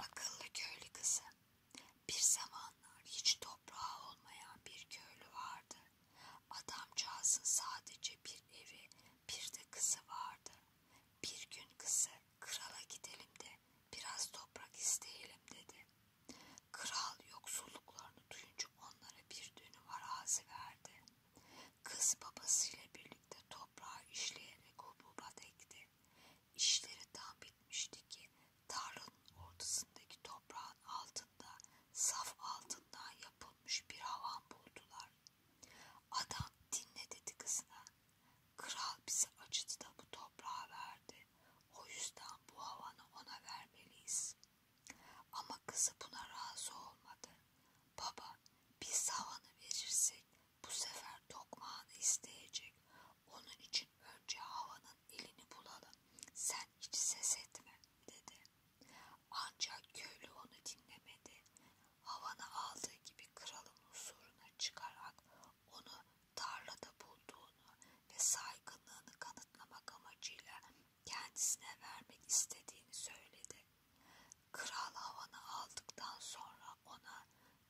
Akıllı köylü kızı. Bir zamanlar hiç toprağı olmayan bir köylü vardı. Adamcağızın sadece bir evi, bir de kızı vardı. Bir gün kızı krala gidelim de biraz toprak isteyelim dedi. Kral yoksulluklarını duyunca onlara bir dönüm arazi verdi. Kız babasıyla birlikte toprağı işleyerek hububat ekti. İşleri tam bitmişti ki tarlanın ortasındaki toprağın altında saf altından yapılmış bir havan buldular. Adam dinle dedi kızına. Kral bizi acıdı da bu toprağa verdi. O yüzden bu havanı ona vermeliyiz. Ama kızı buna razı olmadı. Baba biz havanı verirsek bu sefer tokmağını isteyecek. Onun için önce havanın elini bulalım. Sen hiç ses etme dedi. Ancak köylü onu dinlemedi. Havanı aldığı gibi kralın huzuruna çıkarak onu tarlada bulduğunu ve saygınlığını kanıtlamak amacıyla kendisine vermek istediğini söyledi. Kral havanı aldıktan sonra ona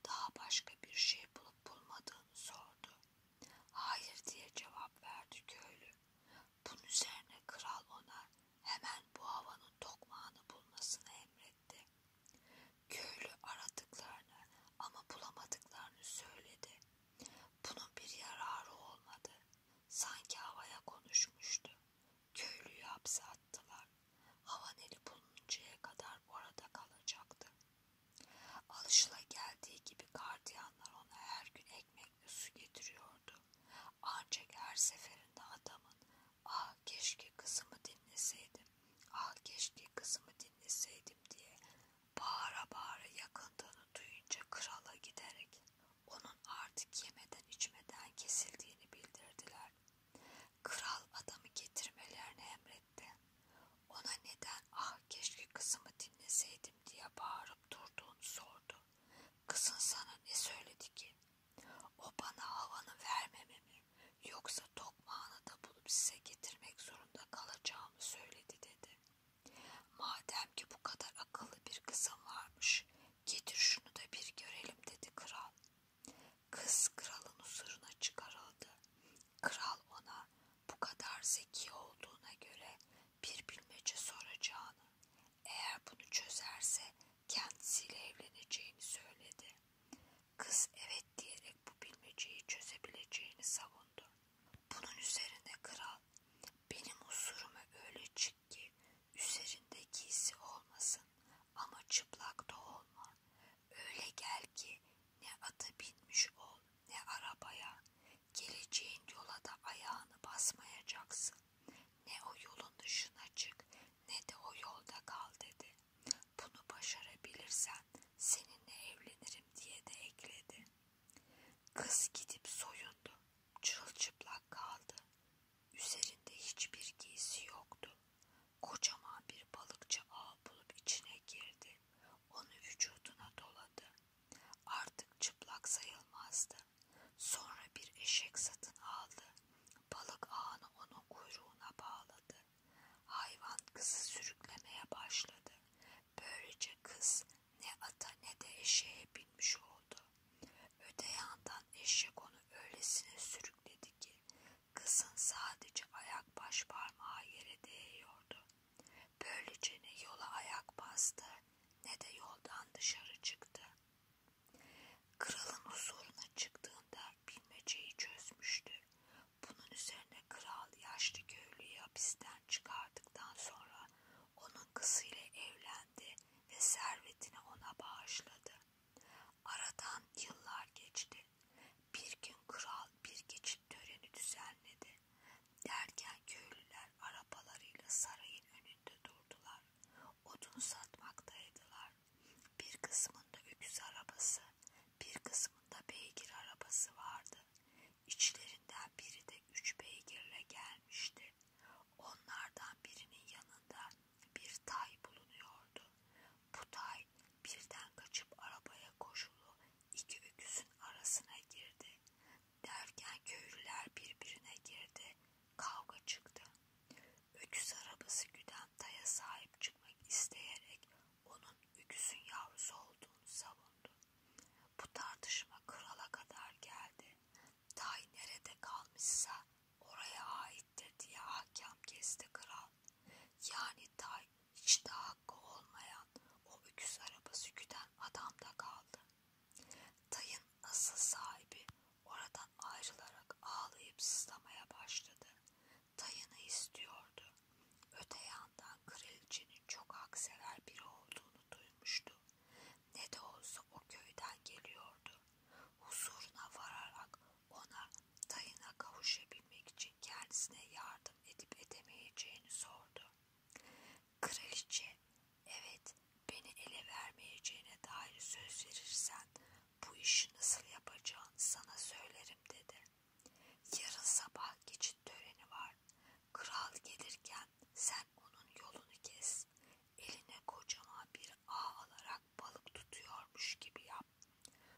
daha başka bir şey bulup bulmadığını sordu. Hayır diye cevap verdi köylü. Bunun üzerine kral ona hemen bu havanın tokmağını bulmasını emretti. Köylü aradıklarını ama bulamadıklarını söyledi. Bunun bir yararı olmadı. Sanki havaya konuşmuştu. Köylüyü hapse attılar. Havaneli buluncaya kadar orada kalacaktı. Alışla geldiği gibi gardiyanlar ona her gün ekmekle su getiriyordu. Ancak her seferinde adamın ah keşke kızımı dinleseydim, ah keşke kızımı dinleseydim diye bağıra bağıra yakındığını duyunca krala giderek onun artık yemeden içmeden kesildiğini bildirdiler. Kral adamı getirmelerini emretti. Ona neden ah keşke kızımı dinleseydim diye bağırıp durduğunu sordu. Kızın sana ne söyledi ki? O bana havanı vermememi yoksa tokmağını da bulup size getirmek zorunda kalacağımı söyledi dedi. Madem ki bu kadar akıllı bir kızım varmış Getir şunu da bir görelim dedi kral. Kız kralın huzuruna çıkarıldı. Kral ona bu kadar zeki olduğuna göre bir bilmece soracağını, eğer bunu çözerse kendisiyle evleneceğini söyledi. Kız evet diyerek bu bilmeceyi çözebileceğini savundu. Bunun üzerine kral da benim husuruma öyle çık ki üzerinde giysi olmasın ama çıplak da olma. Öyle gel ki ne ata binmiş ol ne arabaya. Geleceğin yola da ayağını basmayacaksın. Ne o yolun dışına çık ne de o yolda kal dedi. Bunu başarabilirsen seninle evlenirim diye de ekledi. Kız gidip soyundu. Çırılçıplak kaldı. Üzerinde hiçbir giysi yoktu. Kocaman bir balıkçı ağ bulup içine girdi. Onu vücuduna doladı. Artık çıplak sayılmazdı. Sonra bir eşek satın aldı. Balık ağını onun kuyruğuna bağladı. Hayvan kızı sürüklemeye başladı. Böylece kız ne ata ne de eşeğe binmiş oldu. Öte yandan eşek onu öylesine sürükledi ki kızın sadece ayak baş parmağı yere değiyordu. Böylece ne yola ayak bastı ne de yoldan dışarı çıktı. Kralın huzuruna çıktığında bilmeceyi çözmüştü. Bunun üzerine kral yaşlı köylüyü hapisten çıkardıktan sonra onun kızıyla evlendi ve servetini ona bağışladı. Aradan yıllar geçti. Bir gün kral bir geçit töreni düzenledi. Derken köylüler arabalarıyla sarayın önünde durdular. Odun satmaktaydılar. Bir kısmında öküz arabası, bir kısmında beygir arabası vardı. İçlerinden biri de üç beygirle gelmişti. Onlardan birinin yanında bir tay bulunuyordu. Bu tay birden kaçıp arabaya koşulu iki öküzün arasına girdi. Derken köylüler birbirine girdi. Kavga çıktı. Öküz arabası güden taya sahip çıkmak isteyerek onun öküzün yavrusu olduğunu savundu. Bu tartışma krala kadar geldi. Tay nerede kalmışsa oraya aittir diye hakem kesti kral. Yani Tay hiç de hakkı olmayan o öküz arabası güden adamda kaldı. Tay'ın asıl sahibi oradan ayrılarak ağlayıp sızlamaya başladı. Dayını istiyordu. Öte yandan kraliçenin çok haksever biri olduğunu duymuştu. Ne de olsa o köyden geliyordu. Huzuruna vararak ona dayına kavuşabilmek için kendisine yardım edip edemeyeceğini sordu. Kraliçe, evet beni ele vermeyeceğine dair söz verirsen bu işi nasıl yapacağını sana söylerim dedi. Yarın sabah geçit töreni var. Kral gelirken sen onun yolunu kes. Eline kocaman bir ağ alarak balık tutuyormuş gibi yap.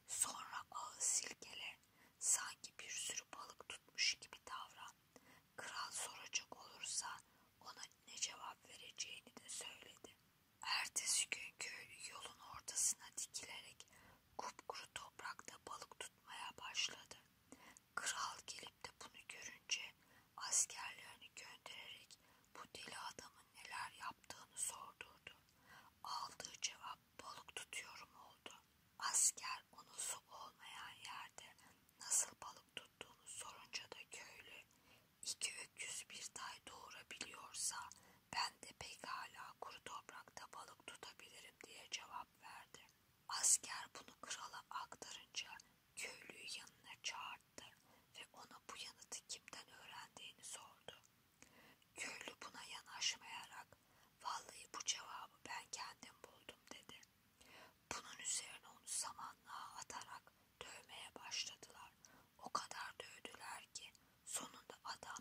Sonra ağı silkele. Sanki bir sürü balık tutmuş gibi davran. Kral soracak olursa ona ne cevap vereceğini de söyledi. Ertesi günkü yolun ortasına dikilerek kupkuru toprakta balık tutmaya başladı. Kral gelip de bunu görünce askerlerini göndererek bu deli adamın neler yaptığını sordurdu. Aldığı cevap balık tutuyorum oldu. Asker onu su olmayan yerde nasıl balık tuttuğunu sorunca da köylü iki öküz bir day doğurabiliyorsa ben de pekala kuru toprakta balık tutabilirim diye cevap verdi. Asker bunu krala aktarınca köylüyü yanına çağırdı ve ona bu yanıtı kimden öğrendiğini sordu. Köylü buna yanaşmayarak vallahi bu cevabı ben kendim buldum dedi. Bunun üzerine onu samanlığa atarak dövmeye başladılar. O kadar dövdüler ki sonunda adam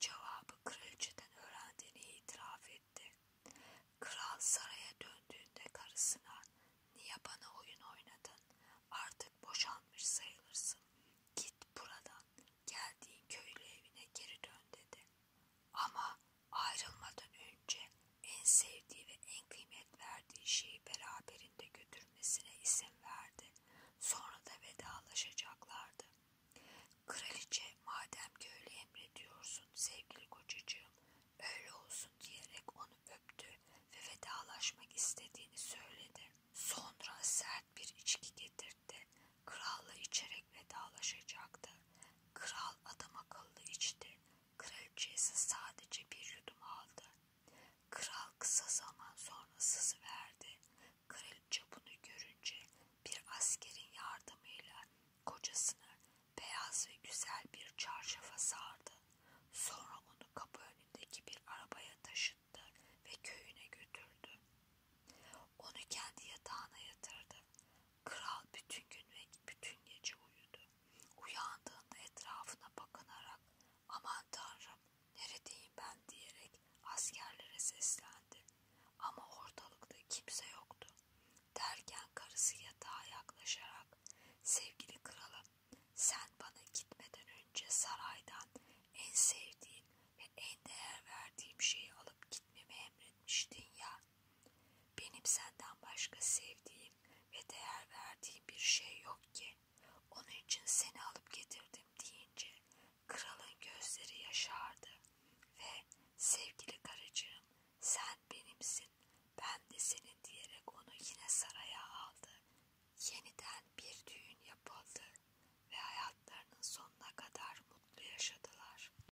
cevabı kraliçeden öğrendiğini itiraf etti. Kral saraya döndüğünde karısına niye bana oyun oynadın artık boşanmış sayılırsın git buradan geldiğin köylü evine geri dön dedi. Ama ayrılmadan önce en sevdiği ve en kıymet verdiği şeyi beraberinde götürmesine izin verdi. Sonra da vedalaşacaklardı. Kraliçe madem ki öyle emrediyorsun sevgili kocacığım öyle olsun diyerek onu öptü ve vedalaşmak istediğini söyledi. Sonra sert bir içki getirdi. Kralla içerek vedalaşacaktı. Kral adam akıllı içti. Kraliçesi sadece bir yudum aldı. Kral kısa zaman sonra sızıverdi. Kraliçe bunu görünce bir askerin yardımıyla kocasını beyaz ve güzel bir çarşafa sardı. Sonra onu kapı önündeki bir arabaya taşıttı ve köyüne götürdü. Onu kendi yatağına yatırdı. Kral bütün gün ve bütün gece uyudu. Uyandığında etrafına bakınarak aman tanrım neredeyim ben diyerek askerlere seslendi. Ama ortalıkta kimse yoktu. Derken karısı yatağa yaklaşarak sevgili kralım sen bana gitmeden önce saraydan en sevdiğin ve en değer verdiğim şeyi alıp gitmemi emretmiştin ya. Benim senden başka sevdiğim ve değer verdiğim bir şey yok ki. Onun için seni alıp getirdim deyince kralın gözleri yaşardı ve sevgili karıcığım sen benimsin ben de senin diyerek onu yine saraya aldı. Yeniden bir düğün yapıldı ve hayatlarının sonuna kadar mutlu yaşadılar.